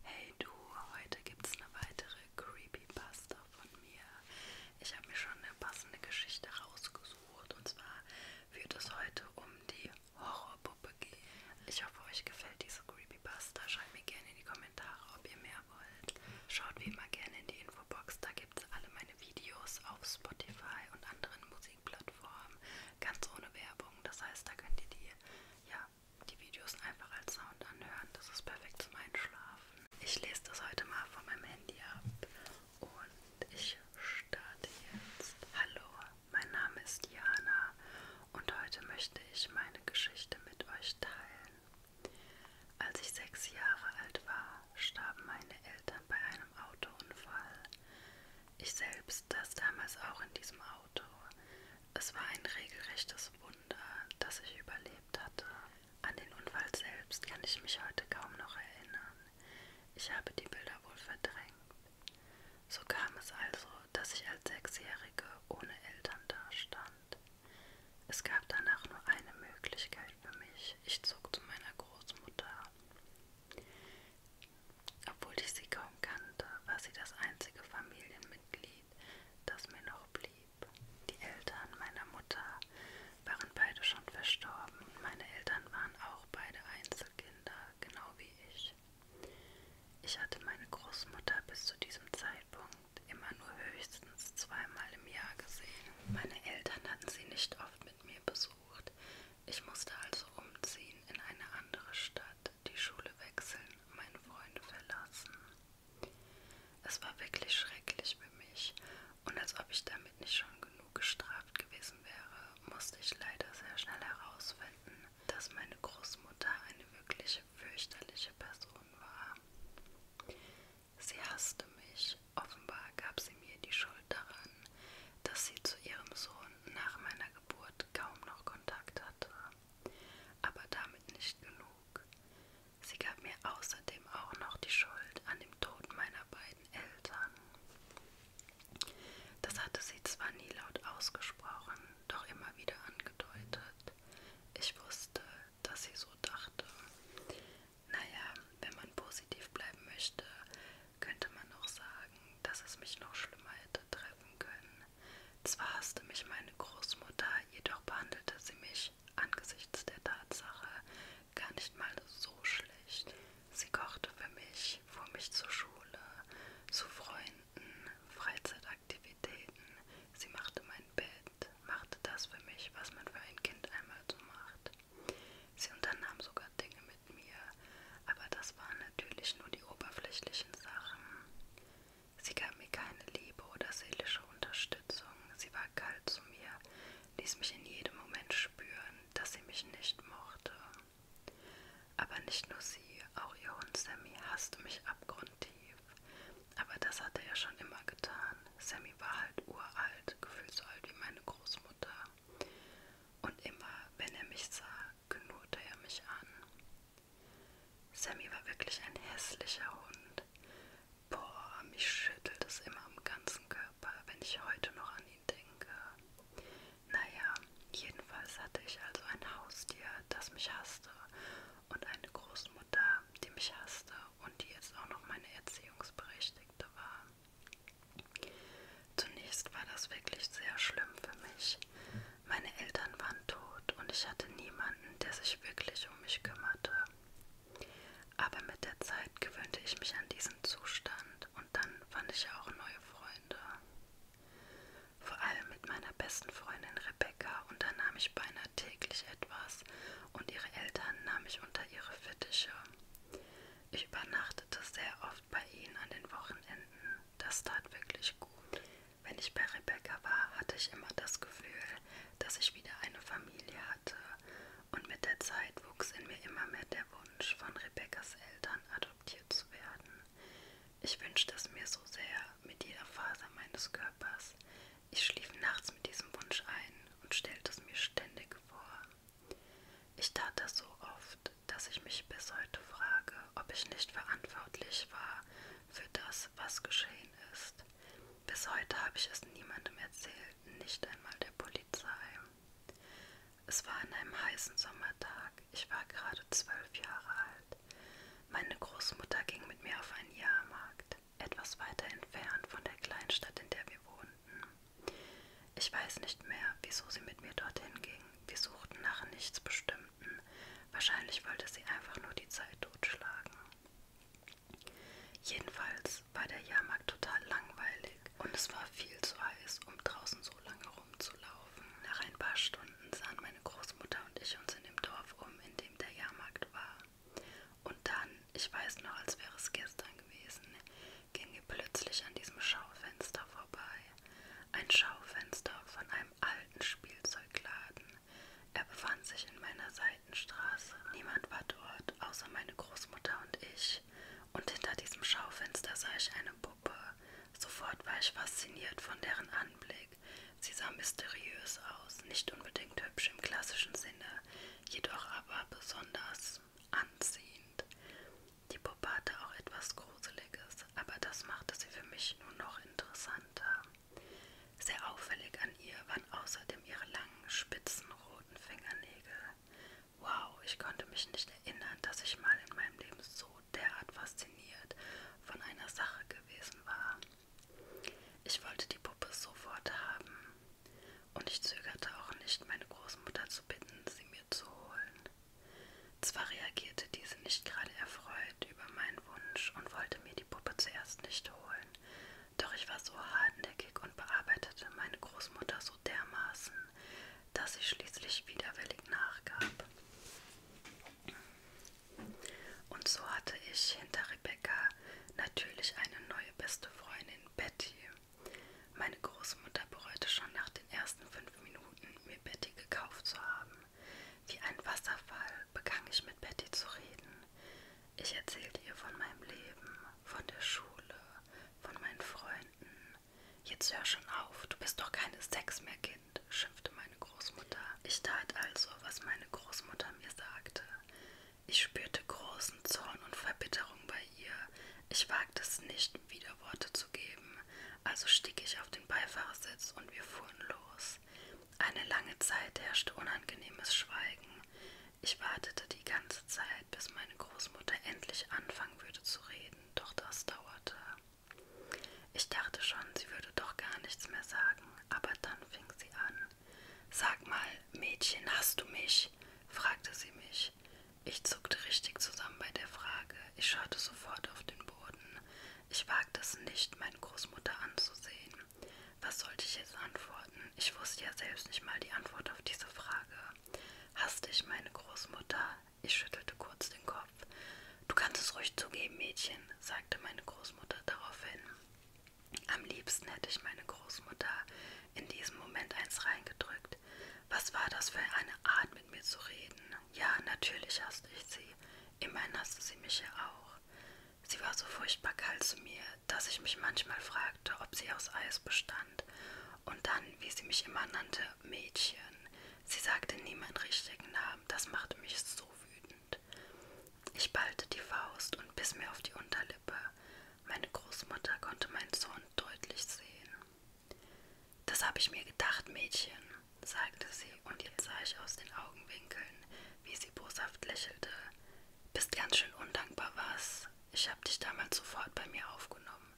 Hey du, heute gibt's eine weitere Creepypasta von mir. Ich habe mir schon eine passende Geschichte rausgesucht und zwar wird es heute um die Horrorpuppe gehen. Ich hoffe, euch gefällt diese Creepypasta. Schreibt mir gerne in die Kommentare, ob ihr mehr wollt. Schaut wie immer gerne in die Infobox, da gibt's alle meine Videos auf Spotify und anderen Musikplattformen, ganz ohne Werbung. Das heißt, da könnt ihr die ja die Videos einfach als Sound anhören. Das ist perfekt zum Einschlafen. Ich lese das heute mal von meinem Handy ab und ich starte jetzt. Hallo, mein Name ist Jana und heute möchte ich meine Geschichte mit euch teilen. Als ich sechs Jahre alt war, starben meine Eltern bei einem Autounfall. Ich selbst saß damals auch in diesem Auto. Es war ein regelrechtes Wunder, dass ich überlebt hatte. An den Unfall selbst kann ich mich heute kaum noch erinnern. Ich habe die Bilder wohl verdrängt. So kam es also, dass ich als Sechsjährige ohne Eltern dastand. Es gab danach nur eine Möglichkeit für mich. Ich zog zu meiner Großmutter. Obwohl ich sie kaum kannte, war sie das einzige Familienmitglied, das mir noch blieb. Die Eltern meiner Mutter waren beide schon verstorben. Meine Eltern waren auch beide Einzelkinder, genau wie ich. Ich hatte meine Großmutter bis zu diesem Zeitpunkt immer nur höchstens zweimal im Jahr gesehen. Meine Eltern hatten sie nicht oft mit mir besucht. Ich musste also umziehen in eine andere Stadt die Schule wechseln, meine Freunde verlassen. Es war wirklich schrecklich für mich und als ob ich damit nicht schon genug gestraft gewesen wäre, musste ich leider sehr schnell herausfinden, dass meine Großmutter eine wirklich fürchterliche Person war. Sie hasste mich, offenbar gab sie mir die Schuld daran, dass sie zu ihrem Sohn nach meiner Geburt kaum noch Kontakt hatte. Aber damit nicht genug. Sie gab mir außerdem auch noch die Schuld an dem Tod meiner beiden Eltern. Das hatte sie zwar nie laut ausgesprochen, doch immer wieder angedeutet. Ich wusste, dass sie so dachte. Naja, wenn man positiv bleiben möchte, könnte man auch sagen, dass es mich noch schlimmer hätte treffen können, zwar hasste mich meine Großmutter, jedoch behandelte sie mich angesichts der Tatsache gar nicht mal so schlecht. Sie kochte für mich, fuhr mich zur Schule, zu Freunden, Freizeitaktivitäten. Sie machte mein Bett, machte das für mich, was man für ein Kind einmal so macht. Sie unternahm sogar Dinge mit mir, aber das waren natürlich nur die oberflächlichen Sachen. Sie gab mir keine Liebe oder seelische Unterstützung, sie war kalt zu mir, ließ mich in jedem Moment spüren, dass sie mich nicht mochte. Aber nicht nur sie, auch ihr Hund Sammy hasste mich abgrundtief. Aber das hatte er schon immer getan. Sammy war halt uralt, gefühlt so alt wie meine Großmutter. Und immer, wenn er mich sah, knurrte er mich an. Sammy war wirklich ein hässlicher Hund. Boah, mich schüttelt es immer am ganzen Körper, wenn ich heute noch an ihn denke. Naja, jedenfalls hatte ich also ein Haustier, das mich hasste und eine Großmutter, die mich hasste und die jetzt auch noch meine Erziehungsberechtigte war. Zunächst war das wirklich sehr schlimm für mich. Meine Eltern waren tot und ich hatte niemanden, der sich wirklich um mich kümmerte. Aber mit der Zeit gewöhnte ich mich an diesen Zustand und dann fand ich auch neue Freunde. Vor allem mit meiner besten Freundin Rebecca unternahm ich beinahe täglich etwas und ihre Eltern nahmen mich unter ihre Fittiche. Ich übernachtete sehr oft bei ihnen an den Wochenenden. Das tat wirklich gut. Wenn ich bei Rebecca war, hatte ich immer das Gefühl, dass ich wieder eine Familie hatte. Und mit der Zeit wuchs in mir immer mehr der Wunsch, von Rebeccas Eltern adoptiert zu werden. Ich wünschte es mir so sehr mit jeder Faser meines Körpers. Ich schlief nachts mit diesem Wunsch ein und stellte es mir ständig vor. Ich tat das so oft, dass ich mich bis heute frage, ob ich nicht verantwortlich war für das, was geschehen ist. Bis heute habe ich es niemandem erzählt, nicht einmal der Polizei. Es war an einem heißen Sommertag. Ich war gerade zwölf Jahre alt. Meine Großmutter ging mit mir auf einen Jahrmarkt, etwas weiter entfernt von der Kleinstadt, in der wir wohnten. Ich weiß nicht mehr, wieso sie mit mir dorthin ging. Wir suchten nach nichts Bestimmtes. Wahrscheinlich wollte sie einfach nur die Zeit totschlagen. Jedenfalls war der Jahrmarkt total langweilig und es war viel zu heiß, um draußen so lange rumzulaufen. Nach ein paar Stunden sahen meine Großmutter und ich uns in dem Dorf um, in dem der Jahrmarkt war. Und dann, ich weiß noch, als wäre es gestern gewesen, ging wir plötzlich an diesem Schaufenster vorbei. Ein Schaufenster von einem alten Spielzeugladen. Er befand sich in meiner Seitenstraße. Niemand war dort, außer meine Großmutter und ich. Und hinter diesem Schaufenster sah ich eine Puppe. Sofort war ich fasziniert von deren Anblick. Sie sah mysteriös aus, nicht unbedingt hübsch im klassischen Sinne, jedoch aber besonders anziehend. Die Puppe hatte auch etwas Großes Gruseliges, aber das machte sie für mich nur noch interessanter. Sehr auffällig an ihr waren außerdem ihre langen, spitzen, roten Fingernägel. Wow, ich konnte mich nicht erinnern, dass ich mal in meinem Leben so derart fasziniert von einer Sache gewesen war. Ich wollte die Puppe sofort haben. Und ich zögerte auch nicht, meine Großmutter zu bitten, sie mir zu holen. Zwar reagierte diese nicht gerade erfreut über meinen Wunsch und wollte mir die Puppe zuerst nicht holen, doch ich war so hartnäckig und bearbeitete meine Großmutter so dermaßen, dass sie schließlich widerwillig nachgab. Und so hatte ich hinter Rebecca natürlich eine neue beste Freundin, Betty. Meine Großmutter bereute schon nach den ersten fünf Minuten, mir Betty gekauft zu haben. Wie ein Wasserfall begann ich mit Betty zu reden. Ich erzählte ihr von meinem Leben, von der Schule, von meinen Freunden. Jetzt hör schon auf, du bist doch keine Sex mehr, Kind, schimpfte meine Großmutter. Ich tat also, was meine Großmutter mir sagte. Ich spürte großen Zorn und Verbitterung bei ihr. Ich wagte es nicht, Widerworte zu geben, also stieg ich auf den Beifahrersitz und wir fuhren los. Eine lange Zeit herrschte unangenehmes Schweigen. Ich wartete die ganze Zeit, bis meine Großmutter endlich anfangen würde zu reden, doch das dauerte. Ich dachte schon, sie würde doch gar nichts mehr sagen, aber dann fing sie an. Sag mal, Mädchen, hast du mich? fragte sie mich. Ich zuckte richtig zusammen bei der Frage. Ich schaute sofort auf den Boden. Ich wagte es nicht, meine Großmutter anzusehen. Was sollte ich jetzt antworten? Ich wusste ja selbst nicht mal die Antwort auf diese Frage. Hasste ich meine Großmutter? Ich schüttelte kurz den Kopf. Du kannst es ruhig zugeben, Mädchen, sagte meine Großmutter daraufhin. Am liebsten hätte ich meine Großmutter in diesem Moment eins reingedrückt. Was war das für eine Art, mit mir zu reden? Ja, natürlich hasste ich sie. Immerhin hasste sie mich ja auch. Sie war so furchtbar kalt zu mir, dass ich mich manchmal fragte, ob sie aus Eis bestand. Und dann, wie sie mich immer nannte, Mädchen. Sie sagte nie meinen richtigen Namen, das machte mich so wütend. Ich ballte die Faust und biss mir auf die Unterlippe. Meine Großmutter konnte meinen Zorn deutlich sehen. Das habe ich mir gedacht, Mädchen, sagte sie und jetzt sah ich aus den Augenwinkeln, wie sie boshaft lächelte. Bist ganz schön undankbar, was? Ich habe dich damals sofort bei mir aufgenommen.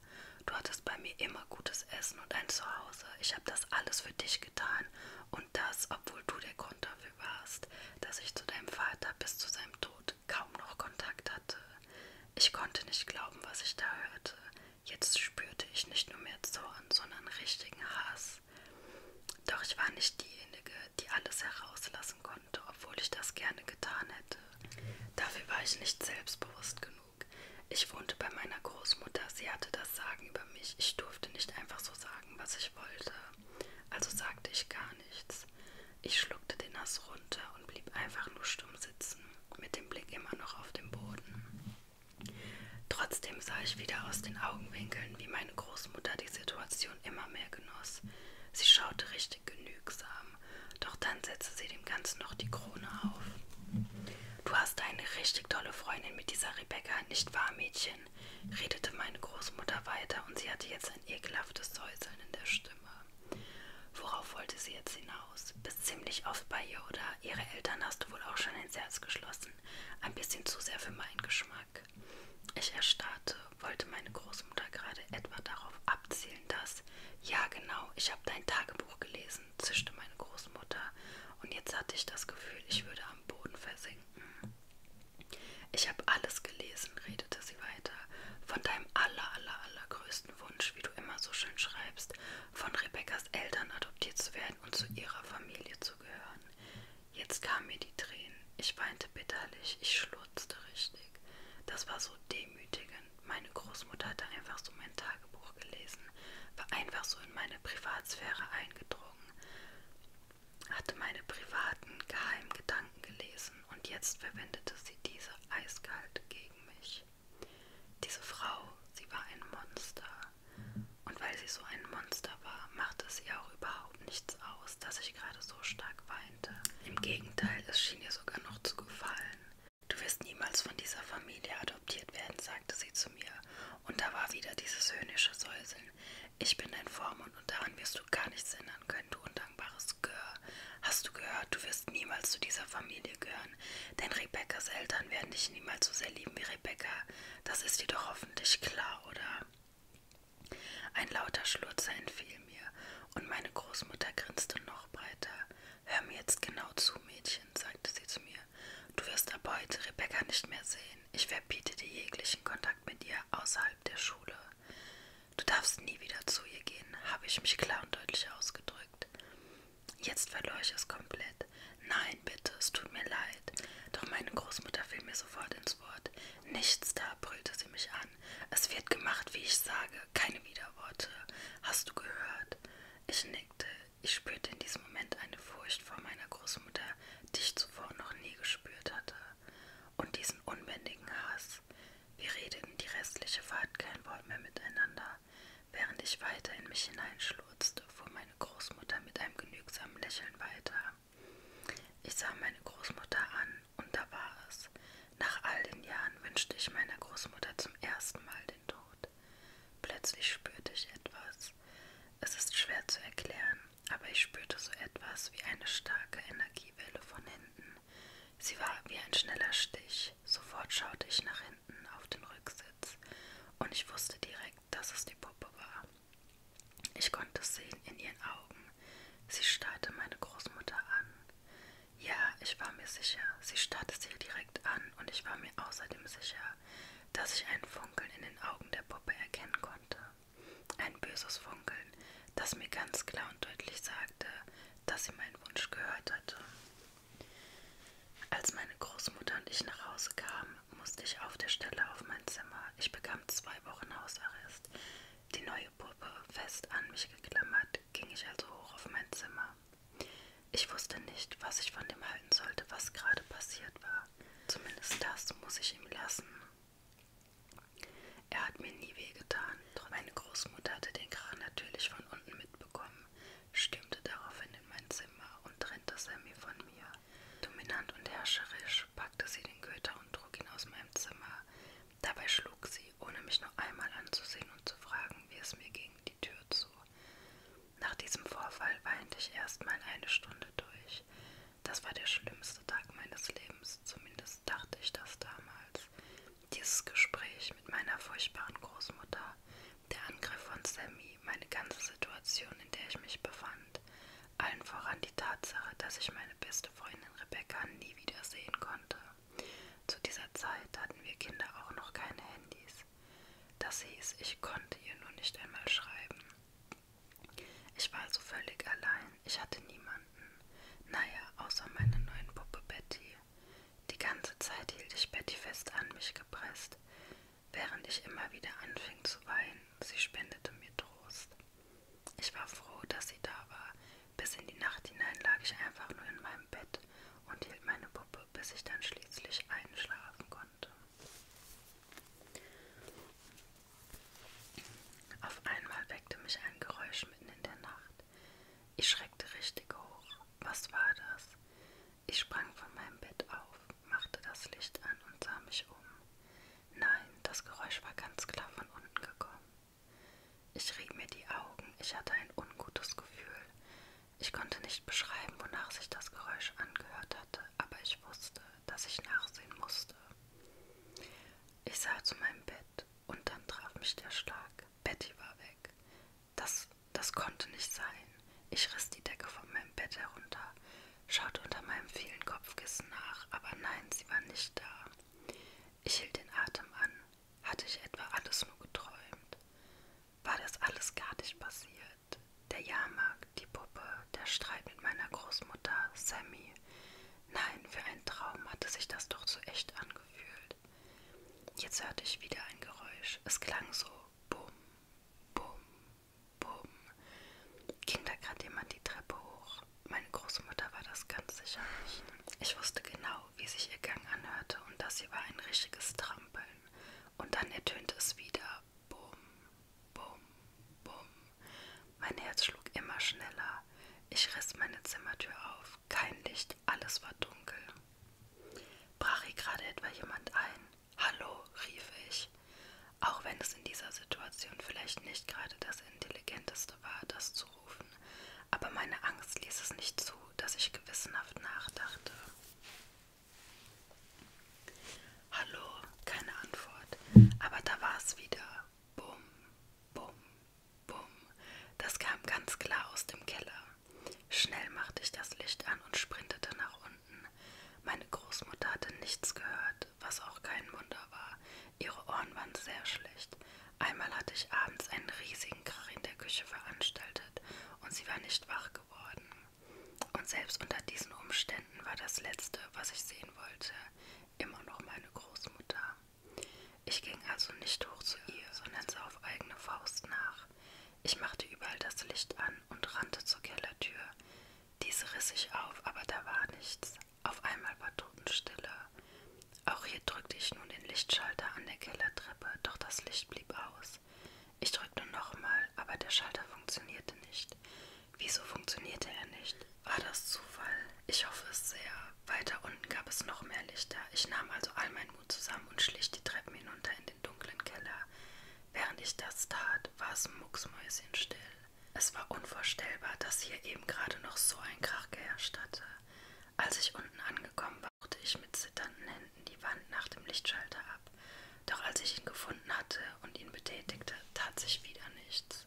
Du hattest bei mir immer gutes Essen und ein Zuhause. Ich habe das alles für dich getan und das, obwohl du der Grund dafür warst, dass ich zu deinem Vater bis zu seinem Tod kaum noch Kontakt hatte. Ich konnte nicht glauben, was ich da hörte. Jetzt spürte ich nicht nur mehr Zorn, sondern richtigen Hass. Doch ich war nicht diejenige, die alles herauslassen konnte, obwohl ich das gerne getan hätte. Dafür war ich nicht selbstbewusst genug. Ich wohnte bei meiner Großmutter, sie hatte das Sagen über mich. Ich durfte nicht einfach so sagen, was ich wollte. Also sagte ich gar nichts. Ich schluckte den Hass runter und blieb einfach nur stumm sitzen, mit dem Blick immer noch auf den Boden. Trotzdem sah ich wieder aus den Augenwinkeln, wie meine Großmutter die Situation immer mehr genoss. Sie schaute richtig genügsam, doch dann setzte sie dem Ganzen noch die Krone auf. Du hast eine richtig tolle Freundin mit dieser Rebecca, nicht wahr, Mädchen? redete meine Großmutter weiter und sie hatte jetzt ein ekelhaftes Säuseln in der Stimme. Worauf wollte sie jetzt hinaus? Bist ziemlich oft bei ihr, oder? Ihre Eltern hast du wohl auch schon ins Herz geschlossen lassen. Ein bisschen zu sehr für meinen Geschmack. Ich erstarrte, wollte meine Großmutter gerade etwa darauf abzielen, dass ja genau, ich habe dein Tagebuch gelesen, zischte meine Großmutter, und jetzt hatte ich das Gefühl, ich würde am Boden versinken. Ich habe alles gelesen, redete sie weiter, von deinem aller, aller, allergrößten Wunsch, wie du immer so schön schreibst, von Rebekkas Eltern adoptiert zu werden und zu ihrer Familie zu gehören. Jetzt kamen mir die Tränen. Ich weinte bitterlich, ich schluchzte richtig. Das war so demütigend. Meine Großmutter hatte einfach so mein Tagebuch gelesen, war einfach so in meine Privatsphäre eingedrungen, hatte meine privaten, geheimen Gedanken gelesen und jetzt verwendete sie diese eiskalt gegen mich. Diese Frau, sie war ein Monster, und weil sie so ein Monster war, machte es ihr auch überhaupt nichts aus, dass ich gerade so stark weinte. Im Gegenteil, es schien ihr sogar noch zu gefallen. Du wirst niemals von dieser Familie adoptiert werden, sagte sie zu mir. Und da war wieder dieses höhnische Säuseln. Ich bin dein Vormund und daran wirst du gar nichts ändern können, du undankbares Gör. Hast du gehört, du wirst niemals zu dieser Familie gehören, denn Rebekkas Eltern werden dich niemals so sehr lieben wie Rebekka. Das ist jedoch hoffentlich klar, oder? Ein lauter Schlurzer entfiel mir, und meine Großmutter grinste noch breiter. Hör mir jetzt genau zu, Mädchen, sagte sie zu mir. Du wirst ab heute Rebecca nicht mehr sehen. Ich verbiete dir jeglichen Kontakt mit ihr außerhalb der Schule. Du darfst nie wieder zu ihr gehen, habe ich mich klar und deutlich ausgedrückt. Jetzt verlor ich es komplett. Nein, bitte, es tut mir leid. Doch meine Großmutter fiel mir sofort ins Wort. Nichts da, brüllte sie mich an. Es wird gemacht, wie ich sage. Keine Widerworte. Hast du gehört? Ich nickte. Ich spürte in diesem Moment eine Furcht vor meiner Großmutter, die ich zuvor noch nie gespürt hatte. Und diesen unbändigen Hass. Wir redeten die restliche Fahrt kein Wort mehr miteinander. Während ich weiter in mich hineinschlurzte, fuhr meine Großmutter mit einem genügsamen Lächeln weiter. Ich sah meine Großmutter an, und da war es. Nach all den Jahren wünschte ich meiner Großmutter zum ersten Mal den Tod. Plötzlich spürte ich etwas. Es ist schwer zu erklären, aber ich spürte so etwas wie eine starke Energiewelle von hinten. Sie war wie ein schneller Stich. Sofort schaute ich nach hinten auf den Rücksitz und ich wusste direkt, dass es die Puppe war. Ich konnte es sehen in ihren Augen. Sie starrte meine Großmutter an. Ja, ich war mir sicher, sie starrte sie direkt an und ich war mir außerdem sicher, dass ich ein Funkeln in den Augen der Puppe erkennen konnte. Ein böses Funkeln, das mir ganz klar und deutlich sagte, dass sie meinen Wunsch gehört hatte. Als meine Großmutter und ich nach Hause kamen, musste ich auf der Stelle auf mein Zimmer. Ich bekam zwei Wochen Hausarrest. Die neue Puppe, fest an mich geklammert, ging ich also hoch auf mein Zimmer. Ich wusste nicht, was ich von dem halten sollte, was gerade passiert war. Zumindest das muss ich ihm lassen. Er hat mir nie wehgetan, doch meine Großmutter hatte den Krach natürlich von unten mitbekommen stürmte daraufhin in mein Zimmer und trennte Sammy von mir. Dominant und herrscherisch packte sie den Köter und trug ihn aus meinem Zimmer. Dabei schlug sie, ohne mich nur einmal anzusehen und zu fragen, wie es mir ging, die Tür zu. Nach diesem Vorfall weinte ich erstmal eine Stunde durch. Das war der schlimmste Tag meines Lebens, zumindest dachte ich das damals. Dieses Gespräch mit meiner furchtbaren Großmutter, der Angriff von Sammy, meine ganze Situation, in der ich mich befand, allen voran die Tatsache, dass ich meine beste Freundin Rebecca nie wiedersehen konnte. Zu dieser Zeit hatten wir Kinder auch noch keine Handys. Das hieß, ich konnte ihr nur nicht einmal schreiben. Ich war also völlig allein, ich hatte niemanden. Naja, außer meiner neuen Puppe Betty. Die ganze Zeit hielt ich Betty fest an mich gepresst während ich immer wieder anfing zu weinen. Sie spendete mir Trost. Ich war froh, dass sie da war. Bis in die Nacht hinein lag ich einfach nur in meinem Bett und hielt meine Puppe, bis ich dann schließlich einschlafen konnte. Auf einmal weckte mich ein Geräusch mitten in der Nacht. Ich schreckte richtig hoch. Was war das? Ich sprang von meinem Bett auf, machte das Licht an und sah mich um. Nein, das Geräusch war ganz klar von unten gekommen. Ich rieb mir die Augen, ich hatte ein ungutes Gefühl. Ich konnte nicht beschreiben, wonach sich das Geräusch angehört hatte, aber ich wusste, dass ich nachsehen musste. Ich sah zu meinem Bett und dann traf mich der Schlag. Betty war weg. Das, das konnte nicht sein. Ich riss die Decke von meinem Bett herunter, schaute unter meinem vielen Kopfkissen nach, aber nein, sie war nicht da. Ich hielt den Atem an. Hatte ich etwa alles nur geträumt? War das alles gar nicht passiert? Der Jahrmarkt, die Puppe, der Streit mit meiner Großmutter, Sammy. Nein, für einen Traum hatte sich das doch so echt angefühlt. Jetzt hörte ich wieder ein Geräusch. Es klang so bumm, Bum, bum. Ging da gerade jemand die Treppe hoch? Meine Großmutter war das ganz sicher nicht. Ich wusste genau, wie sich ihr Gang anhörte und das hier war ein richtiges Trampeln. Und dann ertönte es wieder. Bum, bum, bum. Mein Herz schlug immer schneller. Ich riss meine Zimmertür auf. Kein Licht, alles war dunkel. Brach hier gerade etwa jemand ein? Hallo, rief ich, auch wenn es in dieser Situation vielleicht nicht gerade das Intelligenteste war, das zu rufen, aber meine Angst ließ es nicht zu, dass ich gewissenhaft nachdachte. Hallo, keine Antwort, aber da war es wieder. Bum, bum, bum. Das kam ganz klar aus dem Keller. Schnell machte ich das Licht an und sprintete nach unten. Meine Großmutter hatte nichts gehört, was auch kein Wunder war. Ihre Ohren waren sehr schlecht. Einmal hatte ich abends einen riesigen Krach in der Küche veranstaltet und sie war nicht wach geworden. Und selbst unter diesen Umständen war das Letzte, was ich sehen wollte, immer noch meine Großmutter. Ich ging also nicht hoch zu ihr, sondern sah auf eigene Faust nach. Ich machte überall das Licht an an und rannte zur Kellertür. Diese riss ich auf, aber da war nichts. Auf einmal war Totenstille. Auch hier drückte ich nun den Lichtschalter an der Kellertreppe, doch das Licht blieb aus. Ich drückte nochmal, aber der Schalter funktionierte nicht. Wieso funktionierte er nicht? War das Zufall? Ich hoffe es sehr. Weiter unten gab es noch mehr Lichter. Ich nahm also all meinen Mut zusammen und schlich die Treppen hinunter in den dunklen Keller. Während ich das tat, war es mucksmäuschenstill. Es war unvorstellbar, dass hier eben gerade noch so ein Krach geherrscht hatte. Als ich unten angekommen war, suchte ich mit zitternden Händen die Wand nach dem Lichtschalter ab. Doch als ich ihn gefunden hatte und ihn betätigte, tat sich wieder nichts.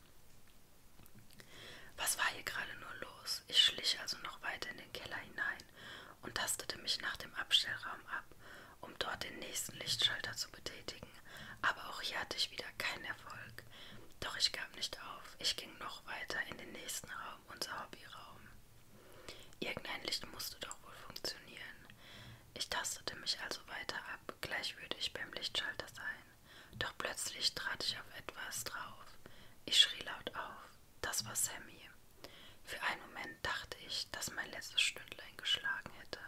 Was war hier gerade nur los? Ich schlich also noch weiter in den Keller hinein und tastete mich nach dem Abstellraum ab, um dort den nächsten Lichtschalter zu betätigen, aber auch hier hatte ich wieder keinen Erfolg. Doch ich gab nicht auf, ich ging noch weiter in den nächsten Raum, unser Hobbyraum. Irgendein Licht musste doch wohl funktionieren. Ich tastete mich also weiter ab, gleich würde ich beim Lichtschalter sein. Doch plötzlich trat ich auf etwas drauf. Ich schrie laut auf. Das war Sammy. Für einen Moment dachte ich, dass mein letztes Stündlein geschlagen hätte.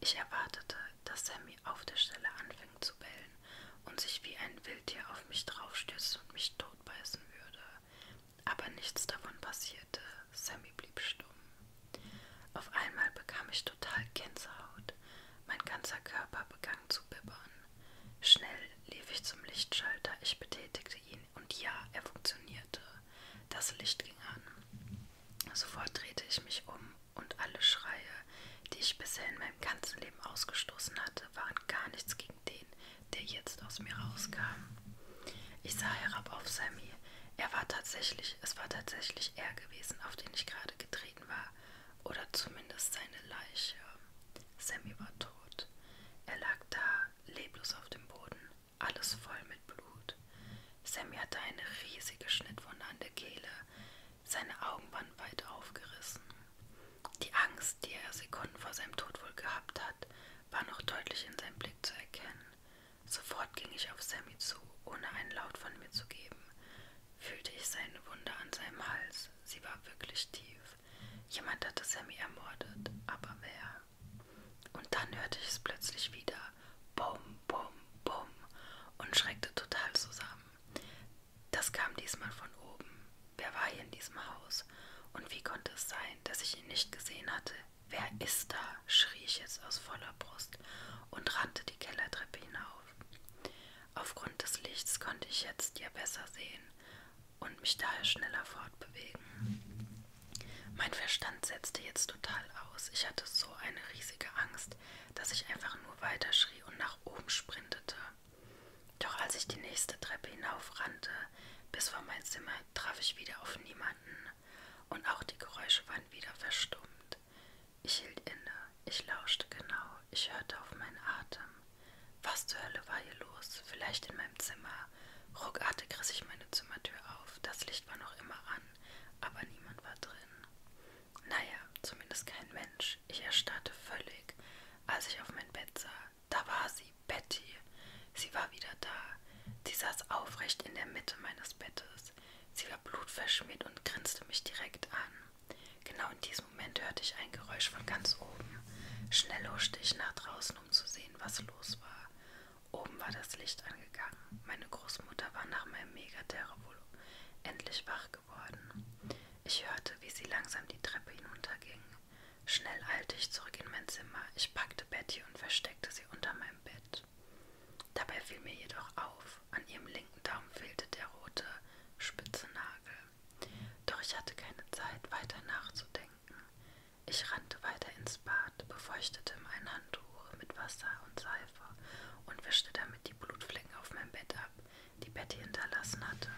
Ich erwartete, dass Sammy auf der Stelle anfing zu bellen und sich wie ein Wildtier auf mich draufstürzen und mich totbeißen würde. Aber nichts davon passierte. Sammy blieb stumm. Auf einmal bekam ich total Gänsehaut. Mein ganzer Körper begann zu bibbern. Schnell lief ich zum Lichtschalter. Ich betätigte fragte ihn, und ja, er funktionierte. Das Licht ging an. Sofort drehte ich mich um, und alle Schreie, die ich bisher in meinem ganzen Leben ausgestoßen hatte, waren gar nichts gegen den, der jetzt aus mir rauskam. Ich sah herab auf Sammy. Er war tatsächlich, es war tatsächlich er gewesen, auf den ich gerade getreten war, oder zumindest seine Leiche. Sammy war tot. Er lag da, leblos auf dem Boden alles voll mit Blut. Sammy hatte eine riesige Schnittwunde an der Kehle, seine Augenband weit aufgerissen. Die Angst, die er Sekunden vor seinem Tod wohl gehabt hat, war noch deutlich in seinem Blick zu erkennen. Sofort ging ich auf Sammy zu, ohne einen Laut von mir zu geben. Fühlte ich seine Wunde an seinem Hals. Sie war wirklich tief. Jemand hatte Sammy ermordet, aber wer? Und dann hörte ich es plötzlich wieder. Bum, bum, bum. Und schreckte total zusammen. Das kam diesmal von oben. Wer war hier in diesem Haus? Und wie konnte es sein, dass ich ihn nicht gesehen hatte? Wer ist da? schrie ich jetzt aus voller Brust und rannte die Kellertreppe hinauf. Aufgrund des Lichts konnte ich jetzt ja besser sehen und mich daher schneller fortbewegen. Mein Verstand setzte jetzt total aus. Ich hatte so eine riesige Angst, dass ich einfach nur weiterschrie und nach oben sprintete. Doch als ich die nächste Treppe hinaufrannte, bis vor mein Zimmer, traf ich wieder auf niemanden. Und auch die Geräusche waren wieder verstummt. Ich hielt inne, ich lauschte genau, ich hörte auf meinen Atem. Was zur Hölle war hier los? Vielleicht in meinem Zimmer, Ruckartig riss ich meine Zimmertür auf. Das Licht war noch immer an, aber niemand war drin. Naja, zumindest kein Mensch. Ich erstarrte völlig, als ich auf mein Bett sah. Da war sie, Betty. Sie war wieder da. Sie saß aufrecht in der Mitte meines Bettes. Sie war blutverschmiert und grinste mich direkt an. Genau in diesem Moment hörte ich ein Geräusch von ganz oben. Schnell huschte ich nach draußen, um zu sehen, was los war. Oben war das Licht angegangen. Meine Großmutter war nach meinem Megaterror wohl endlich wach geworden. Ich hörte, wie sie langsam die Treppe hinunterging. Schnell eilte ich zurück in mein Zimmer. Ich packte Betty und versteckte sie unter meinem Bett. Dabei fiel mir jedoch auf, an ihrem linken Daumen fehlte der rote, spitze Nagel. Doch ich hatte keine Zeit, weiter nachzudenken. Ich rannte weiter ins Bad, befeuchtete mein Handtuch mit Wasser und Seife und wischte damit die Blutflecken auf mein Bett ab, die Betty hinterlassen hatte.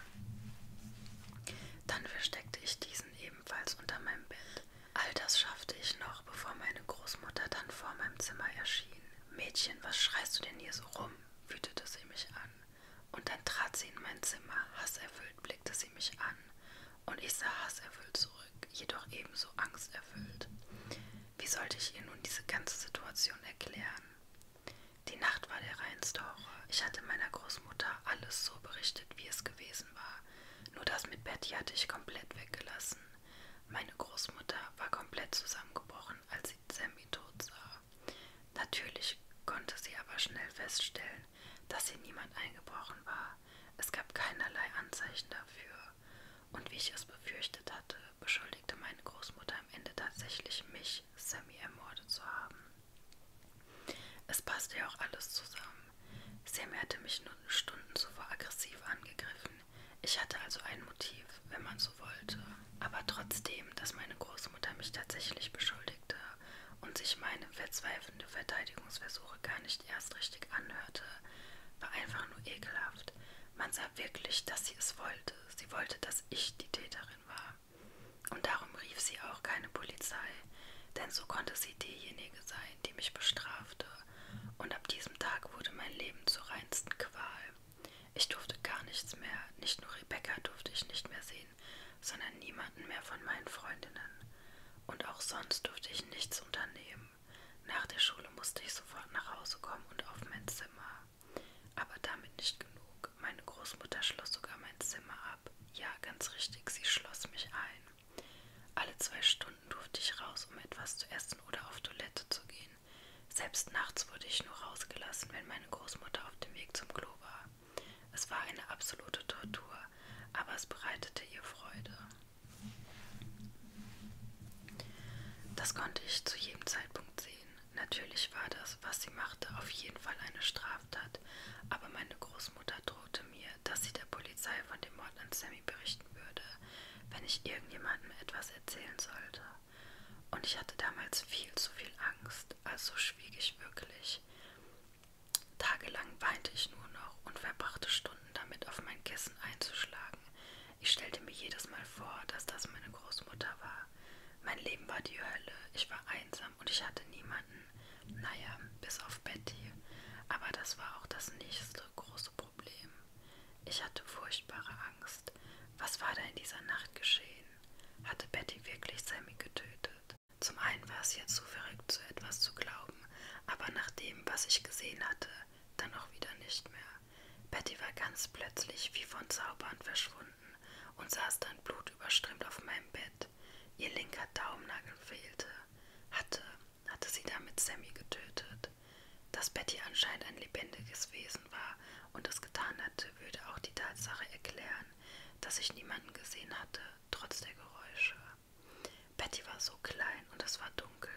Dann versteckte ich diesen ebenfalls unter meinem Bett. All das schaffte ich noch, bevor meine Großmutter dann vor meinem Zimmer erschien. Mädchen, was schreist du denn hier so rum? wütete sie mich an. Und dann trat sie in mein Zimmer, hasserfüllt blickte sie mich an und ich sah hasserfüllt zurück, jedoch ebenso angsterfüllt. Wie sollte ich ihr nun diese ganze Situation erklären? Die Nacht war der reinste Horror. Ich hatte meiner Großmutter alles so berichtet, wie es gewesen war. Nur das mit Betty hatte ich komplett weggelassen. Meine Großmutter war komplett zusammengebrochen, als sie Sammy tot sah. Natürlich konnte sie aber schnell feststellen, dass hier niemand eingebrochen war. Es gab keinerlei Anzeichen dafür, und wie ich es befürchtet hatte, beschuldigte meine Großmutter am Ende tatsächlich mich, Sammy ermordet zu haben. Es passte ja auch alles zusammen. Sammy hatte mich nur Stunden zuvor aggressiv angegriffen. Ich hatte also ein Motiv, wenn man so wollte. Aber trotzdem, dass meine Großmutter mich tatsächlich beschuldigte und sich meine verzweifelnde Verteidigungsversuche gar nicht nicht erst richtig anhörte, war einfach nur ekelhaft. Man sah wirklich, dass sie es wollte. Sie wollte, dass ich die Täterin war. Und darum rief sie auch keine Polizei, denn so konnte sie diejenige sein, die mich bestrafte. Und ab diesem Tag wurde mein Leben zur reinsten Qual. Ich durfte gar nichts mehr, nicht nur Rebecca durfte ich nicht mehr sehen, sondern niemanden mehr von meinen Freundinnen. Und auch sonst durfte ich nichts unternehmen. Nach der Schule musste ich sofort nach Hause kommen und auf mein Zimmer. Aber damit nicht genug. Meine Großmutter schloss sogar mein Zimmer ab. Ja, ganz richtig, sie schloss mich ein. Alle zwei Stunden durfte ich raus, um etwas zu essen oder auf Toilette zu gehen. Selbst nachts wurde ich nur rausgelassen, wenn meine Großmutter auf dem Weg zum Klo war. Es war eine absolute Tortur, aber es bereitete ihr Freude. Das konnte ich zu jedem Zeitpunkt sehen. Natürlich war das, was sie machte, auf jeden Fall eine Straftat, aber meine Großmutter drohte mir, dass sie der Polizei von dem Mord an Sammy berichten würde, wenn ich irgendjemandem etwas erzählen sollte. Und ich hatte damals viel zu viel Angst, also schwieg ich wirklich. Tagelang weinte ich nur noch und verbrachte Stunden damit, auf mein Kissen einzuschlagen. Ich stellte mir jedes Mal vor, dass das meine Großmutter war. Mein Leben war die Hölle, ich war einsam und ich hatte niemanden. Naja, bis auf Betty. Aber das war auch das nächste große Problem. Ich hatte furchtbare Angst. Was war da in dieser Nacht geschehen? Hatte Betty wirklich Sammy getötet? Zum einen war es jetzt so verrückt, so etwas zu glauben, aber nach dem, was ich gesehen hatte, dann auch wieder nicht mehr. Betty war ganz plötzlich wie von Zaubern verschwunden und saß dann blutüberströmt auf meinem Bett. Ihr linker Daumennagel fehlte. Hatte, hatte sie damit Sammy getötet. Dass Betty anscheinend ein lebendiges Wesen war und es getan hatte, würde auch die Tatsache erklären, dass ich niemanden gesehen hatte, trotz der Geräusche. Betty war so klein und es war dunkel.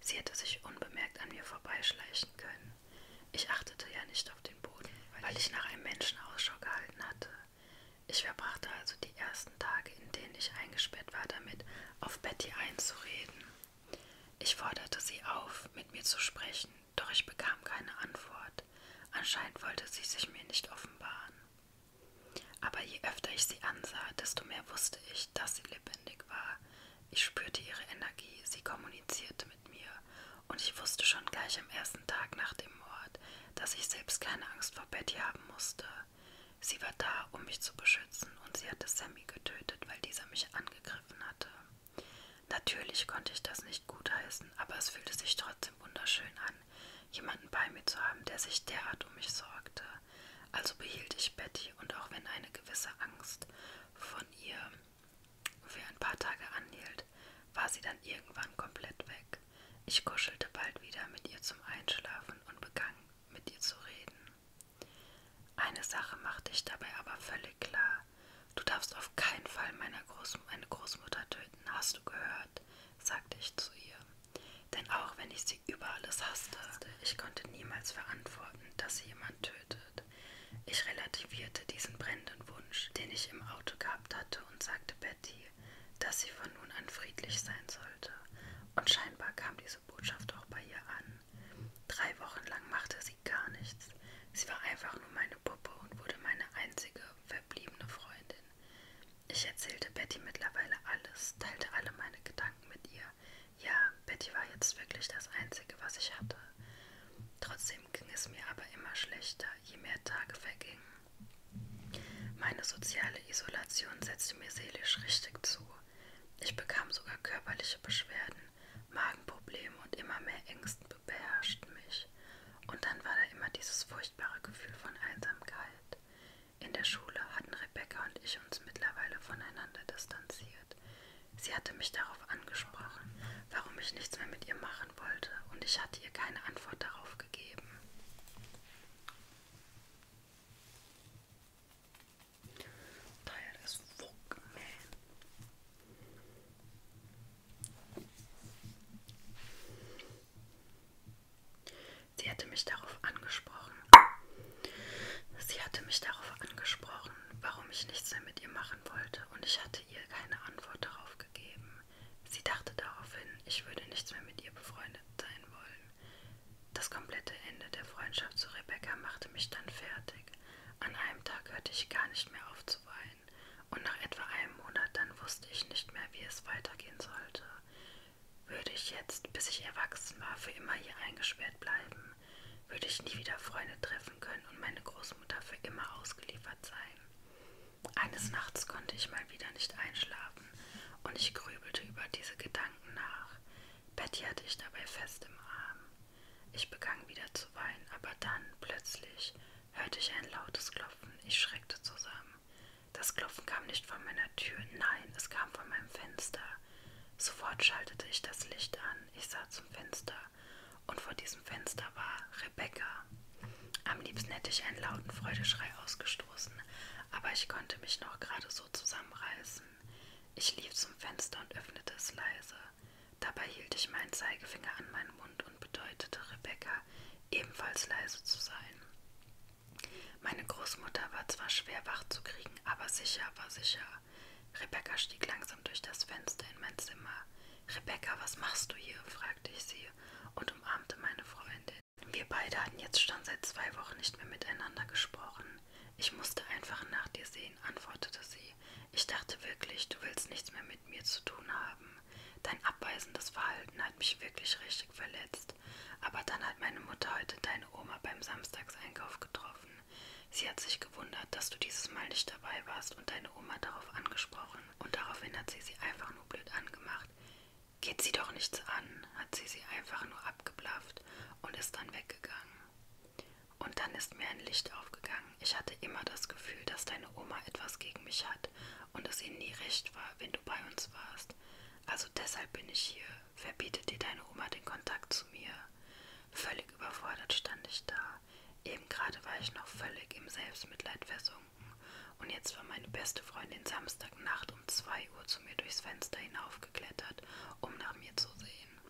Sie hätte sich unbemerkt an mir vorbeischleichen können. Ich achtete ja nicht auf den Boden, weil ich nach einem Menschen Ausschau gehalten hatte. Ich verbrachte also die ersten Tage, in denen ich eingesperrt war, damit, auf Betty einzureden. Ich forderte sie auf, mit mir zu sprechen, doch ich bekam keine Antwort. Anscheinend wollte sie sich mir nicht offenbaren. Aber je öfter ich sie ansah, desto mehr wusste ich, dass sie lebendig war. Ich spürte ihre Energie, sie kommunizierte mit mir, und ich wusste schon gleich am ersten Tag nach dem Mord, dass ich selbst keine Angst vor Betty haben musste. Sie war da, um mich zu beschützen, und sie hatte Sammy getötet, weil dieser mich angegriffen hatte. Natürlich konnte ich das nicht gutheißen, aber es fühlte sich trotzdem wunderschön an, jemanden bei mir zu haben, der sich derart um mich sorgte. Also behielt ich Betty und auch wenn eine gewisse Angst von ihr für ein paar Tage anhielt, war sie dann irgendwann komplett weg. Ich kuschelte bald wieder mit ihr zum Einschlafen und begann mit ihr zu reden. Eine Sache machte ich dabei aber völlig klar. Du darfst auf keinen Fall meiner Groß meine Großmutter töten, hast du gehört, sagte ich zu ihr. Denn auch wenn ich sie über alles hasste, ich konnte niemals verantworten, dass sie jemand tötet. Ich relativierte diesen brennenden Wunsch, den ich im Auto gehabt hatte, und sagte Betty, dass sie von nun an friedlich sein sollte. Und scheinbar kam diese Botschaft auch bei ihr an. Drei Wochen lang machte sie gar nichts. Sie war einfach nur meine Puppe und wurde meine einzige verbliebene Freundin. Ich erzählte Betty mittlerweile alles, teilte alle meine Gedanken mit ihr. Ja, Betty war jetzt wirklich das Einzige, was ich hatte. Trotzdem ging es mir aber immer schlechter, je mehr Tage vergingen. Meine soziale Isolation setzte mir seelisch richtig zu. Ich bekam sogar körperliche Beschwerden, Magenprobleme und immer mehr Ängsten beherrschten mich. Und dann war da immer dieses furchtbare Gefühl von Einsamkeit. In der Schule hatten Rebecca und ich uns mittlerweile voneinander distanziert. Sie hatte mich darauf angesprochen, warum ich nichts mehr mit ihr machen wollte, und ich hatte ihr keine Antwort darauf gegeben. Tired as fuck, man. Sie hatte mich darauf angesprochen. Sie hatte mich darauf angesprochen, warum ich nichts mehr mit ihr machen wollte, und ich hatte ihr keine Antwort darauf gegeben. Sie dachte daraufhin, ich würde nichts mehr mit ihr befreundet sein wollen. Das komplette Ende der Freundschaft zu Rebecca machte mich dann fertig. An einem Tag hörte ich gar nicht mehr auf zu weinen, und nach etwa einem Monat dann wusste ich nicht mehr, wie es weitergehen sollte. Würde ich jetzt, bis ich erwachsen war, für immer hier eingesperrt bleiben, würde ich nie wieder Freunde treffen können und meine Großmutter für immer ausgeliefert sein. Eines Nachts konnte ich mal wieder nicht einschlafen und ich grübelte über diese Gedanken nach. Betty hatte ich dabei fest im Arm. Ich begann wieder zu weinen, aber dann, plötzlich, hörte ich ein lautes Klopfen. Ich schreckte zusammen. Das Klopfen kam nicht von meiner Tür, nein, es kam von meinem Fenster. Sofort schaltete ich das Licht an, ich sah zum Fenster, und vor diesem Fenster war Rebecca. Am liebsten hätte ich einen lauten Freudeschrei ausgestoßen, aber ich konnte mich noch gerade so zusammenreißen. Ich lief zum Fenster und öffnete es leise. Dabei hielt ich meinen Zeigefinger an meinen Mund und bedeutete Rebecca, ebenfalls leise zu sein. Meine Großmutter war zwar schwer wach zu kriegen, aber sicher war sicher. Rebecca stieg langsam durch das Fenster in mein Zimmer. Rebecca, was machst du hier? fragte ich sie und umarmte meine Freundin. Wir beide hatten jetzt schon seit zwei Wochen nicht mehr miteinander gesprochen. Ich musste einfach nach dir sehen, antwortete sie. Ich dachte wirklich, du willst nichts mehr mit mir zu tun haben. Dein abweisendes Verhalten hat mich wirklich richtig verletzt hast. Aber dann hat meine Mutter heute deine Oma beim Samstagseinkauf getroffen. Sie hat sich gewundert, dass du dieses Mal nicht dabei warst und deine Oma darauf angesprochen. Und daraufhin hat sie sie einfach nur blöd angemacht. Geht sie doch nichts an, hat sie sie einfach nur abgeblafft und ist dann weggegangen. Und dann ist mir ein Licht aufgegangen. Ich hatte immer das Gefühl, dass deine Oma etwas gegen mich hat und es ihr nie recht war, wenn du bei uns warst kannst. Also deshalb bin ich hier. Wer bietet dir deine Oma den Kontakt zu mir? Völlig überfordert stand ich da. Eben gerade war ich noch völlig im Selbstmitleid versunken. Und jetzt war meine beste Freundin Samstagnacht um 2 Uhr zu mir durchs Fenster hinaufgeklettert, um nach mir zu sehen.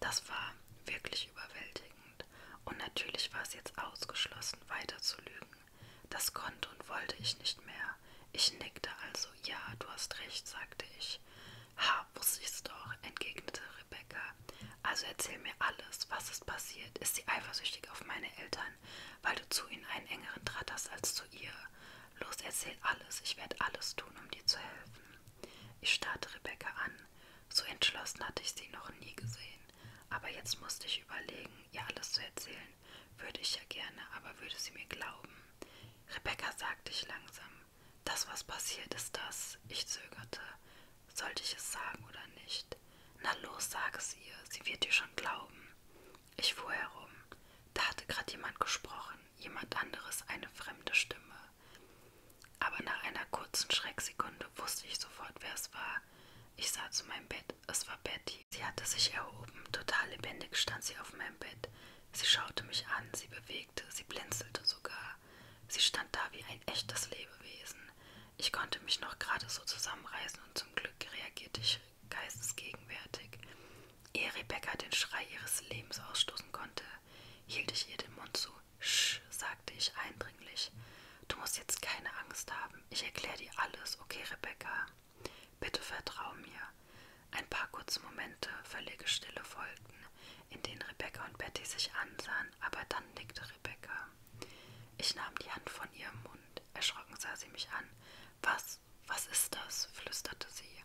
Das war wirklich überwältigend. Und natürlich war es jetzt ausgeschlossen, weiter zu lügen. Das konnte und wollte ich nicht mehr. Ich nickte also, ja, du hast recht, sagte ich. Ha, wusste ich's doch, entgegnete Rebecca. Also erzähl mir alles, was ist passiert? Ist sie eifersüchtig auf meine Eltern, weil du zu ihnen einen engeren Draht hast als zu ihr? Los, erzähl alles, ich werde alles tun, um dir zu helfen. Ich starrte Rebecca an. So entschlossen hatte ich sie noch nie gesehen. Aber jetzt musste ich überlegen, ihr alles zu erzählen, wollen. Würde ich ja gerne, aber würde sie mir glauben? Rebecca sagte ich langsam. Das, was passiert, ist das. Ich zögerte. Sollte ich es sagen oder nicht? Na los, sag es ihr. Sie wird dir schon glauben. Ich fuhr herum. Da hatte gerade jemand gesprochen. Jemand anderes, eine fremde Stimme. Aber nach einer kurzen Schrecksekunde wusste ich sofort, wer es war. Ich sah zu meinem Bett geöffnet. Es war Betty. Sie hatte sich erhoben. Total lebendig stand sie auf meinem Bett. Sie schaute mich an, sie bewegte, sie blinzelte sogar. Sie stand da wie ein echtes Lebewesen. Ich konnte mich noch gerade so zusammenreißen und zum Glück reagierte ich geistesgegenwärtig. Ehe Rebecca den Schrei ihres Lebens ausstoßen konnte, hielt ich ihr den Mund zu. Sch, sagte ich eindringlich. Du musst jetzt keine Angst haben. Ich erkläre dir alles, okay, Rebecca? Bitte vertrau mir. Ein paar kurze Momente, völlige Stille folgten, in denen Rebecca und Betty sich ansahen, aber dann nickte Rebecca. Ich nahm die Hand von ihrem Mund. Erschrocken sah sie mich an. Was, was ist das? flüsterte sie.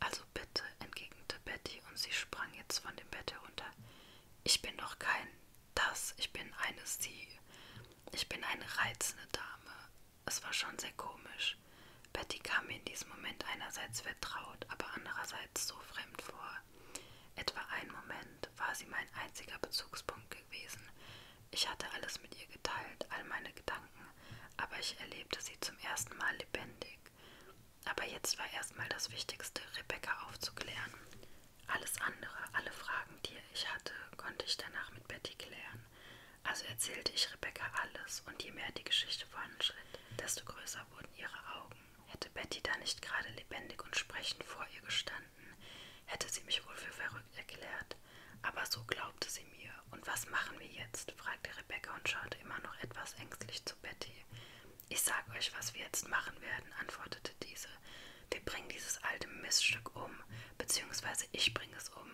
Also bitte, entgegnete Betty, und sie sprang jetzt von dem Bett herunter. Ich bin doch kein das, ich bin eine Sie. Ich bin eine reizende Dame, es war schon sehr komisch. Betty kam mir in diesem Moment einerseits vertraut, aber andererseits so fremd vor. Etwa einen Moment war sie mein einziger Bezugspunkt gewesen. Ich hatte alles mit ihr geteilt, all meine Gedanken, aber ich erlebte sie zum ersten Mal lebendig. Aber jetzt war erstmal das Wichtigste, Rebecca aufzuklären. Alles andere, alle Fragen, die ich hatte, konnte ich danach mit Betty klären. Also erzählte ich Rebecca alles, und je mehr die Geschichte voranschritt, desto größer wurden ihre Augen. Hätte Betty da nicht gerade lebendig und sprechend vor ihr gestanden, hätte sie mich wohl für verrückt erklärt. Aber so glaubte sie mir. Und was machen wir jetzt? fragte Rebecca und schaute immer noch etwas ängstlich zu Betty. Ich sag euch, was wir jetzt machen werden, antwortete diese. Wir bringen dieses alte Miststück um, beziehungsweise ich bringe es um,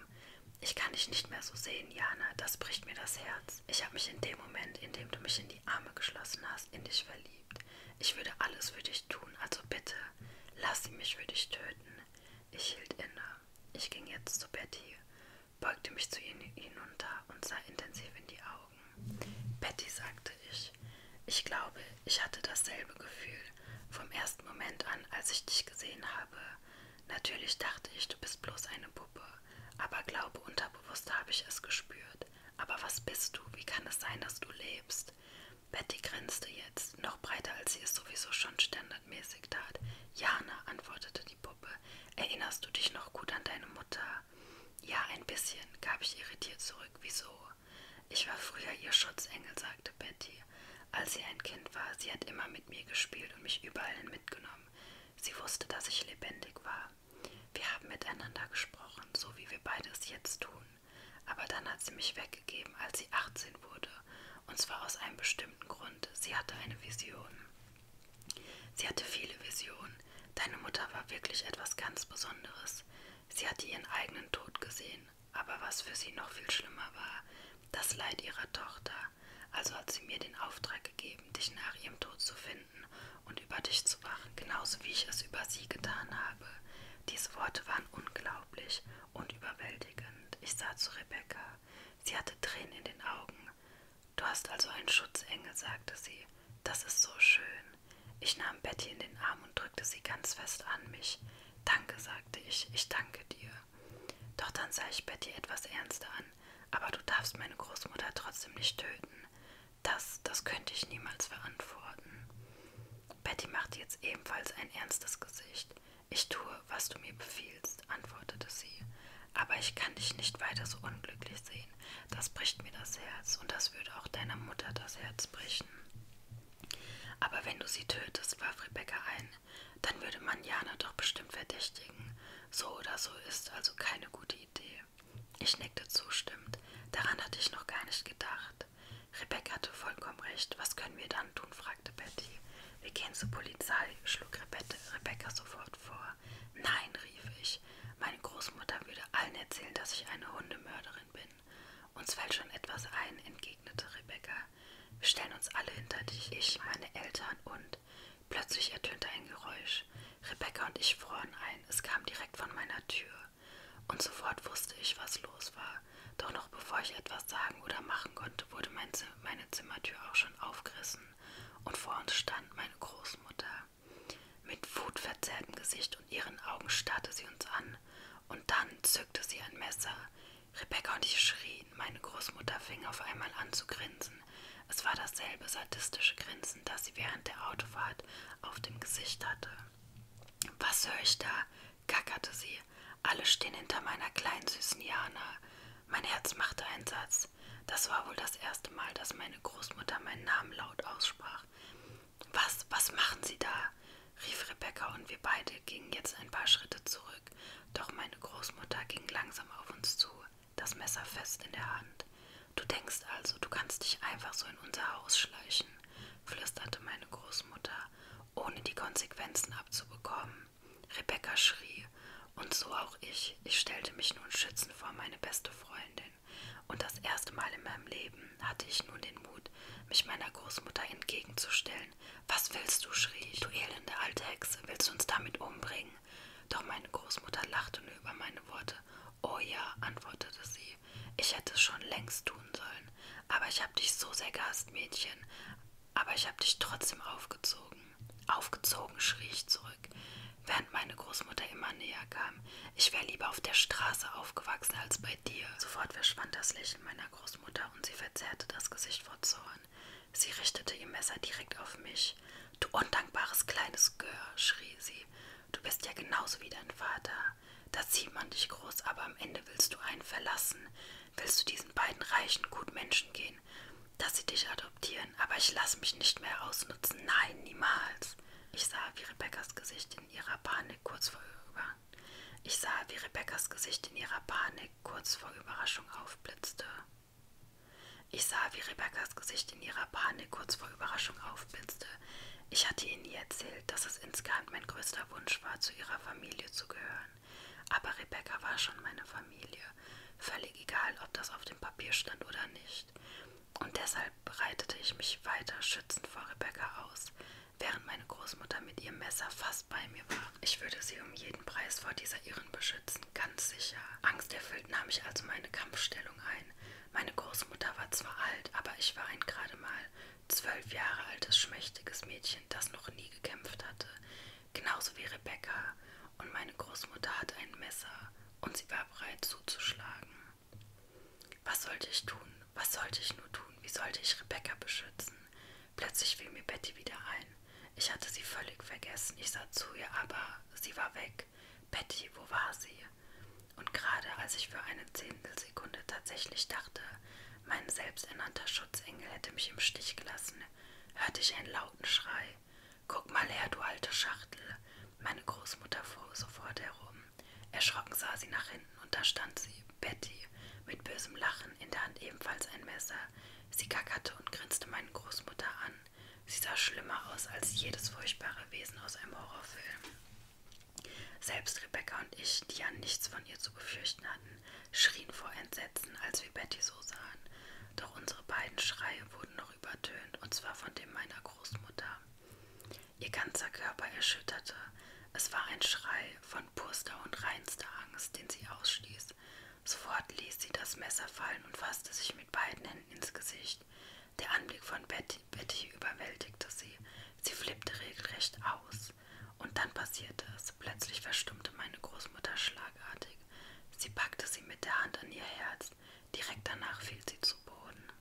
ich kann dich nicht mehr so sehen, Jana. Das bricht mir das Herz. Ich habe mich in dem Moment, in dem du mich in die Arme geschlossen hast, in dich verliebt. Ich würde alles für dich tun, also bitte, lass sie mich für dich töten. Ich hielt inne. Ich ging jetzt zu Betty, beugte mich zu ihr hinunter und sah intensiv in die Augen. Betty, sagte ich, ich glaube, ich hatte dasselbe Gefühl, vom ersten Moment an, als ich dich gesehen habe. Natürlich dachte ich, du bist bloß eine Puppe. Aber glaube, unterbewusst habe ich es gespürt. Aber was bist du? Wie kann es sein, dass du lebst? Betty grinste jetzt, noch breiter als sie es sowieso schon standardmäßig tat. Jana, antwortete die Puppe, erinnerst du dich noch gut an deine Mutter? Ja, ein bisschen, gab ich irritiert zurück. Wieso? Ich war früher ihr Schutzengel, sagte Betty. Rosalie. Als sie ein Kind war, sie hat immer mit mir gespielt und mich überall hin mitgenommen. Sie wusste, dass ich lebendig war. Wir haben miteinander gesprochen, so wie wir beide es jetzt tun. Aber dann hat sie mich weggegeben, als sie 18 wurde. Und zwar aus einem bestimmten Grund. Sie hatte eine Vision. Sie hatte viele Visionen. Deine Mutter war wirklich etwas ganz Besonderes. Sie hatte ihren eigenen Tod gesehen aber was für sie noch viel schlimmer war, das Leid ihrer Tochter. Also hat sie mir den Auftrag gegeben, dich nach ihrem Tod zu finden und über dich zu wachen, genauso wie ich es über sie getan habe. Diese Worte waren unglaublich und überwältigend. Ich sah zu Rebecca. Sie hatte Tränen in den Augen. Du hast also einen Schutzengel, sagte sie. Das ist so schön. Ich nahm Betty in den Arm und drückte sie ganz fest an mich. Danke, sagte ich, ich danke dir. Doch dann sah ich Betty etwas ernster an. Aber du darfst meine Großmutter trotzdem nicht töten. Das, das könnte ich niemals verantworten. Betty machte jetzt ebenfalls ein ernstes Gesicht. Ich tue, was du mir befiehlst, antwortete sie. Aber ich kann dich nicht weiter so unglücklich sehen. Das bricht mir das Herz und das würde auch deiner Mutter das Herz brechen. Aber wenn du sie tötest, warf Rebecca ein, dann würde man Jana doch bestimmt verdächtigen. So oder so ist also keine gute Idee. Ich nickte zustimmend. Daran hatte ich noch gar nicht gedacht. Rebecca hatte vollkommen recht. Was können wir dann tun? fragte Betty. Wir gehen zur Polizei, schlug Rebecca sofort vor. Nein, rief ich. Meine Großmutter würde allen erzählen, dass ich eine Hundemörderin bin. Uns fällt schon etwas ein, entgegnete Rebecca. Wir stellen uns alle hinter dich, ich, meine Eltern und. Plötzlich ertönte ein Geräusch. Rebecca und ich froren ein. Es kam direkt von meiner Tür. Und sofort wusste ich, was los war. Doch noch bevor ich etwas sagen oder machen konnte, wurde mein Zim meine Zimmertür auch schon aufgerissen. Und vor uns stand meine Großmutter. Mit wutverzerrtem Gesicht und ihren Augen starrte sie uns an. Und dann zückte sie ein Messer. Rebecca und ich schrien. Meine Großmutter fing auf einmal an zu grinsen. Es war dasselbe sadistische Grinsen, das sie während der Autofahrt auf dem Gesicht hatte. Was höre ich da? gackerte sie. Alle stehen hinter meiner kleinen süßen Jana. Mein Herz machte einen Satz. Das war wohl das erste Mal, dass meine Großmutter meinen Namen laut aussprach. Was, was machen Sie da? rief Rebecca, und wir beide gingen jetzt ein paar Schritte zurück, doch meine Großmutter ging langsam auf uns zu, das Messer fest in der Hand. Du denkst also, du kannst dich einfach so in unser Haus schleichen, flüsterte meine Großmutter, ohne die Konsequenzen abzubekommen. Rebecca schrie, und so auch ich. Ich stellte mich nun schützend vor meine beste Freundin. Und das erste Mal in meinem Leben hatte ich nun den Mut, mich meiner Großmutter entgegenzustellen Fesseln. Was willst du? schrie ich. Du elende alte Hexe, willst du uns damit umbringen? Doch meine Großmutter lachte nur über meine Worte. Oh ja, antwortete sie. Ich hätte es schon längst tun sollen. Aber ich habe dich so sehr gehasst, Mädchen. Aber ich habe dich trotzdem aufgezogen. Aufgezogen, schrie ich zurück, während meine Großmutter immer näher kam. Ich wäre lieber auf der Straße aufgewachsen als bei dir? Sofort verschwand das Lächeln meiner Großmutter und sie verzerrte das Gesicht vor Zorn. Sie richtete ihr Messer direkt auf mich. Du undankbares kleines Gör, schrie sie. Du bist ja genauso wie dein Vater. Da zieht man dich groß, aber am Ende willst du einen verlassen. Willst du diesen beiden reichen Gutmenschen gehen, dass sie dich adoptieren. Aber ich lasse mich nicht mehr ausnutzen. Nein, niemals. Ich sah, wie Rebekkas Gesicht in ihrer Panik kurz vorüber ich sah, wie Rebekkas Gesicht in ihrer Panik kurz vor Überraschung aufblitzte. Ich sah, wie Rebekkas Gesicht in ihrer Panik kurz vor Überraschung aufblitzte. Ich hatte ihr nie erzählt, dass es insgeheim mein größter Wunsch war, zu ihrer Familie zu gehören. Aber Rebecca war schon meine Familie, völlig egal, ob das auf dem Papier stand oder nicht. Und deshalb bereitete ich mich weiter schützend vor Rebecca aus, während meine Großmutter mit ihrem Messer fast bei mir war. Ich würde sie um jeden Preis vor dieser Irren beschützen, ganz sicher. Angsterfüllt nahm ich also meine Kampfstellung ein. Meine Großmutter war zwar alt, aber ich war ein gerade mal zwölf Jahre altes, schmächtiges Mädchen, das noch nie gekämpft hatte. Genauso wie Rebecca. Und meine Großmutter hatte ein Messer und sie war bereit zuzuschlagen. Was sollte ich tun? Was sollte ich nur tun? Wie sollte ich Rebecca beschützen? Plötzlich fiel mir Betty wieder ein. Ich hatte sie völlig vergessen. Ich sah zu ihr, aber sie war weg. Betty, wo war sie? Und gerade als ich für eine Zehntelsekunde tatsächlich dachte, mein selbsternannter Schutzengel hätte mich im Stich gelassen, hörte ich einen lauten Schrei. Guck mal her, du alte Schachtel! Meine Großmutter fuhr sofort herum. Erschrocken sah sie nach finden, und da stand sie, Betty, mit bösem Lachen, in der Hand ebenfalls ein Messer. Sie gackerte und grinste meine Großmutter an. Sie sah schlimmer aus als jedes furchtbare Wesen aus einem Horrorfilm. Selbst Rebecca und ich, die ja nichts von ihr zu befürchten hatten, schrien vor Entsetzen, als wir Betty so sahen. Doch unsere beiden Schreie wurden noch übertönt, und zwar von dem meiner Großmutter. Ihr ganzer Körper erschütterte. Es war ein Schrei, von purster und reinster Angst, den sie ausstieß. Sofort ließ sie das Messer fallen und fasste sich mit beiden Händen ins Gesicht. Der Anblick von Betty, Betty überwältigte sie. Sie flippte regelrecht aus. Und dann passierte es. Plötzlich verstummte meine Großmutter schlagartig. Sie packte sie mit der Hand an ihr Herz. Direkt danach fiel sie zu Boden.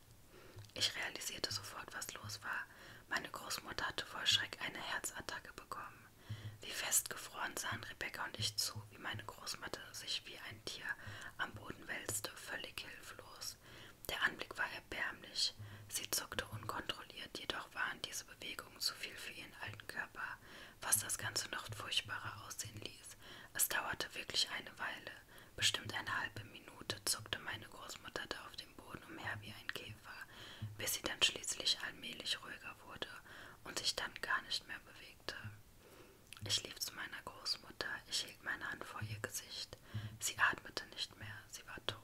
Ich realisierte sofort, was los war. Meine Großmutter hatte vor Schreck eine Herzattacke bekommen. Wie festgefroren sahen Rebecca und ich zu, wie meine Großmutter sich wie ein Tier am Boden wälzte, völlig hilflos. Der Anblick war erbärmlich. Sie zuckte unkontrolliert, jedoch waren diese Bewegungen zu viel für ihren alten Körper, was das Ganze noch furchtbarer aussehen ließ. Es dauerte wirklich eine Weile. Bestimmt eine halbe Minute zuckte meine Großmutter da auf dem dem Boden umher wie ein Käfer, bis sie dann schließlich allmählich ruhiger wurde und sich dann gar nicht mehr bewegte. Ich lief zu meiner Großmutter, ich hielt meine Hand vor ihr Gesicht. Sie atmete nicht mehr, sie war tot.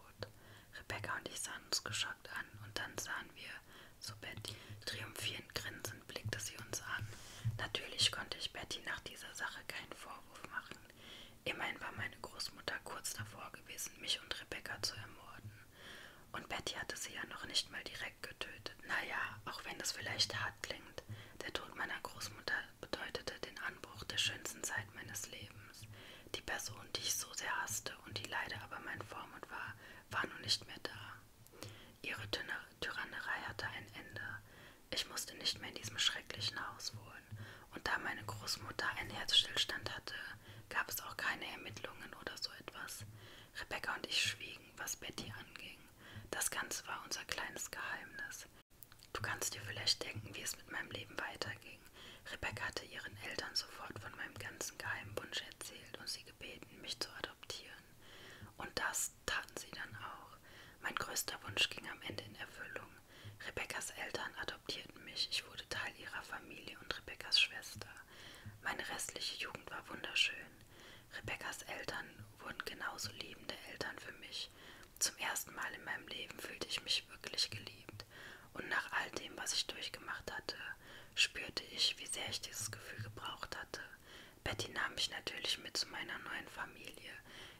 Rebecca und ich sahen uns geschockt an und dann sahen wir zu Betty. Triumphierend grinsend blickte sie uns an. Natürlich konnte ich Betty nach dieser Sache keinen Vorwurf machen. Immerhin war meine Großmutter kurz davor gewesen, mich und Rebecca zu ermorden. Und Betty hatte sie ja noch nicht mal direkt getötet. Naja, auch wenn das vielleicht hart klingt, der Tod meiner Großmutter bedeutete den Anbruch der schönsten Zeit meines Lebens. Die Person, die ich so sehr hasste und die leider aber mein Vormund war, war nun nicht mehr da. Ihre Tyrannerei hatte ein Ende. Ich musste nicht mehr in diesem schrecklichen Haus wohnen. Und da meine Großmutter einen Herzstillstand hatte, gab es auch keine Ermittlungen oder so etwas. Rebecca und ich schwiegen, was Betty anging. Das Ganze war unser kleines Geheimnis. Du kannst dir vielleicht denken, wie es mit meinem Leben weiterging. Rebecca hatte ihren Eltern sofort von meinem ganzen geheimen Wunsch erzählt und sie gebeten, mich zu adoptieren. Und das taten sie dann auch. Mein größter Wunsch ging am Ende in Erfüllung. Rebekkas Eltern adoptierten mich. Ich wurde Teil ihrer Familie und Rebekkas Schwester. Meine restliche Jugend war wunderschön. Rebekkas Eltern wurden genauso liebende Eltern für mich. Zum ersten Mal in meinem Leben fühlte ich mich wirklich geliebt. Und nach all dem, was ich durchgemacht hatte, spürte ich, wie sehr ich dieses Gefühl gebraucht hatte. Betty nahm mich natürlich mit zu meiner neuen Familie.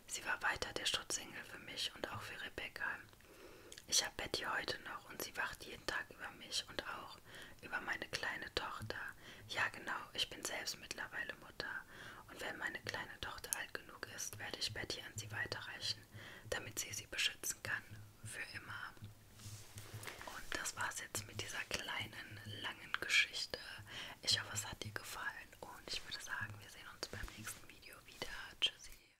Sie war weiter der Schutzengel für mich und auch für Rebecca. Ich habe Betty heute noch und sie wacht jeden Tag über mich und auch über meine kleine Tochter. Ja, genau, ich bin selbst mittlerweile Mutter. Und wenn meine kleine Tochter alt genug ist, werde ich Betty an sie weiterreichen, damit sie sie beschützen kann. Für immer. Und das war's jetzt mit dieser kleinen, langen Geschichte. Ich hoffe, es hat dir gefallen. Und ich würde sagen, wir sehen uns beim nächsten Video wieder. Tschüssi.